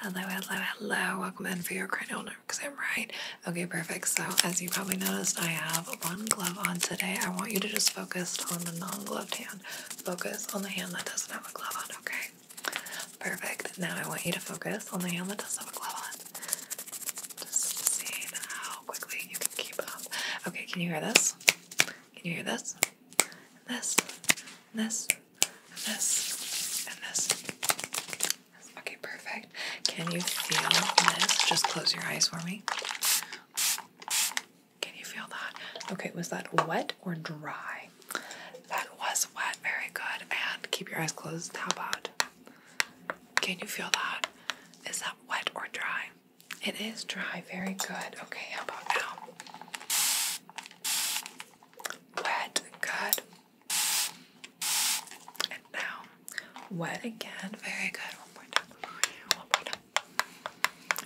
Hello, hello, hello. Welcome in for your cranial nerve exam, right? Okay, perfect. So, as you probably noticed, I have one glove on today. I want you to just focus on the non gloved hand. Focus on the hand that doesn't have a glove on, okay? Perfect. Now, I want you to focus on the hand that doesn't have a glove on. Just seeing how quickly you can keep up. Okay, can you hear this? Can you hear this? This? This? and this, and this. Okay, perfect. Can you feel this? Just close your eyes for me. Can you feel that? Okay, was that wet or dry? That was wet. Very good. And keep your eyes closed. How about? Can you feel that? Is that wet or dry? It is dry. Very good. Okay, how about now? Wet. Good. And now, wet again. Very good. One more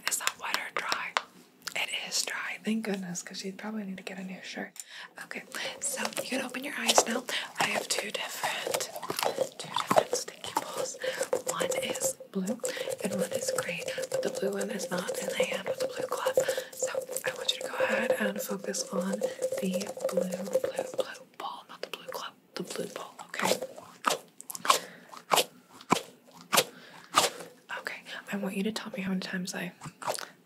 Is that wet or dry? It is dry. Thank goodness, because you'd probably need to get a new shirt. Okay, so you can open your eyes now. I have two different, two different sticky balls. One is blue and one is green, but the blue one is not in the hand with the blue glove. So I want you to go ahead and focus on the blue, blue, blue ball, not the blue club, the blue ball, okay? Okay, I want you to tell me how many times I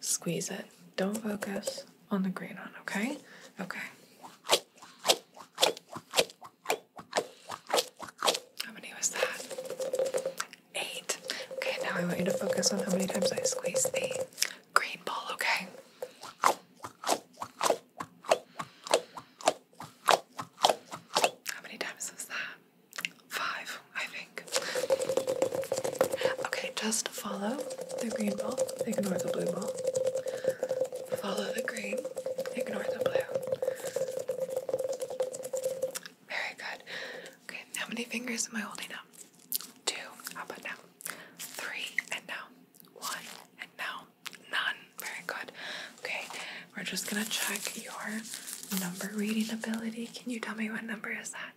squeeze it. Don't focus on the green one, okay? Okay. How many was that? Eight. Okay, now I want you to focus on how many times I squeeze the green ball, okay? How many times was that? Five, I think. Okay, just follow the green ball, ignore the blue ball. Follow the green, ignore the blue. Very good. Okay, how many fingers am I holding up? Two. How about now? Three. And now? One. And now? None. Very good. Okay, we're just gonna check your number reading ability. Can you tell me what number is that?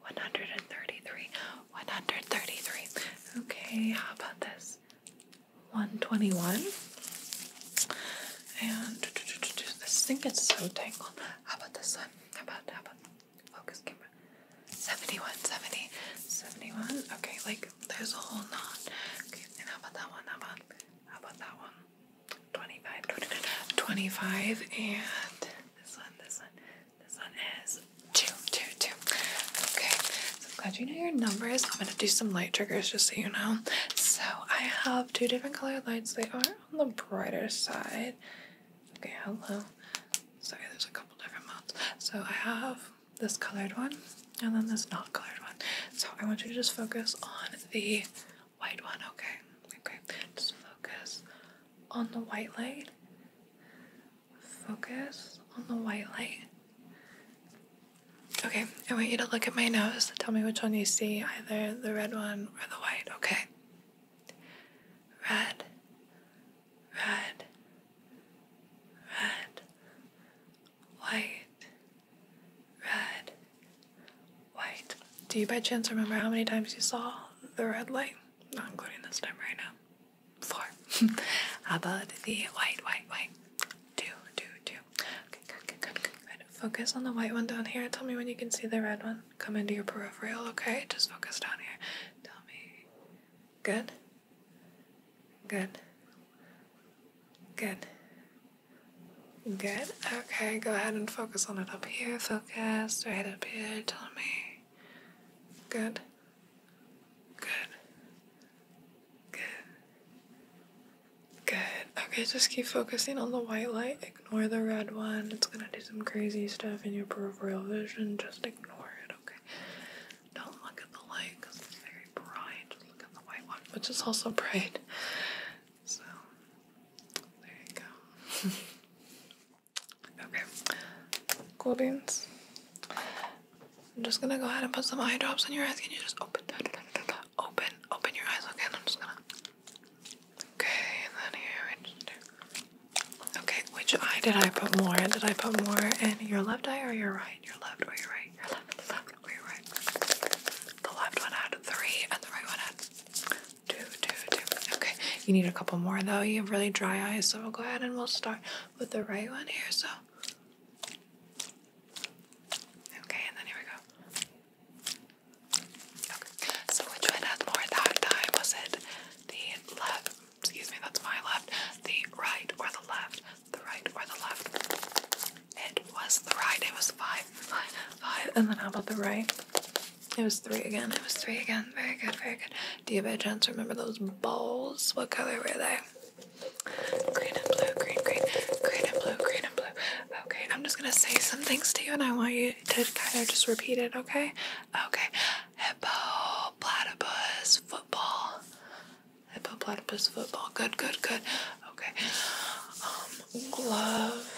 133. 133. Okay, how about this? 121. And this thing gets so tangled. How about this one? How about, how about focus camera. 71, Okay, like there's a whole knot. Okay, and how about that one? How about how about that one? 25, and this one, this one, this one is two, two, two. Okay, so glad you know your numbers. I'm gonna do some light triggers just so you know. So I have two different colored lights. They are on the brighter side. Okay, hello. Sorry, there's a couple different modes. So I have this colored one and then this not colored one. So I want you to just focus on the white one, okay? Okay, just focus on the white light. Focus on the white light. Okay, I want you to look at my nose. Tell me which one you see, either the red one or the white, okay? red, red, red, white, red, white. Do you by chance remember how many times you saw the red light? Not including this time right now. Four. how about the white, white, white? Two, two, two. Okay, good, good, good, good, good. Focus on the white one down here. Tell me when you can see the red one come into your peripheral, okay? Just focus down here. Tell me. Good? Good. Good. Good. Okay, go ahead and focus on it up here. Focus right up here. Tell me. Good. Good. Good. Good. Okay, just keep focusing on the white light ignore the red one. It's gonna do some crazy stuff in your peripheral vision. Just ignore it, okay? Don't look at the light because it's very bright. Just look at the white one, which is also bright. So, there you go. okay, cool beans. I'm just gonna go ahead and put some eye drops in your eyes. Can you just open, open, open your eyes, okay? I'm just gonna Okay, and then here. Okay, which eye did I put more? Did I put more in your left eye or your right? Your left or your right? Your left, left or your right? The left one had three and the right one had two, two, two. Okay, you need a couple more though. You have really dry eyes, so we'll go ahead and we'll start with the right one here. So. Okay, and then here we go. Okay, so which one had more that time? Was it the left, excuse me, that's my left, the right or the left, the right or the left. It was the right, it was five, five, five, and then how about the right? It was three again, it was three again, very good, very good. Do you by chance remember those balls? What color were they? Green and blue, green, green, green and blue, green and blue. Okay, I'm just gonna say some things to you and I want you to kind of just repeat it, okay? Okay. Hippo, platypus, football. Hippo, platypus, football. Good, good, good. Okay. Um, glove.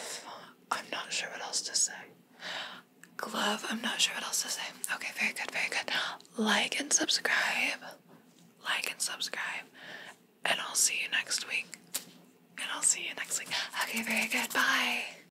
I'm not sure what else to say. Glove. I'm not sure what else to say. Okay, very good, very good. Like and subscribe. Like and subscribe. And I'll see you next week. And I'll see you next week. Okay, very good. Bye.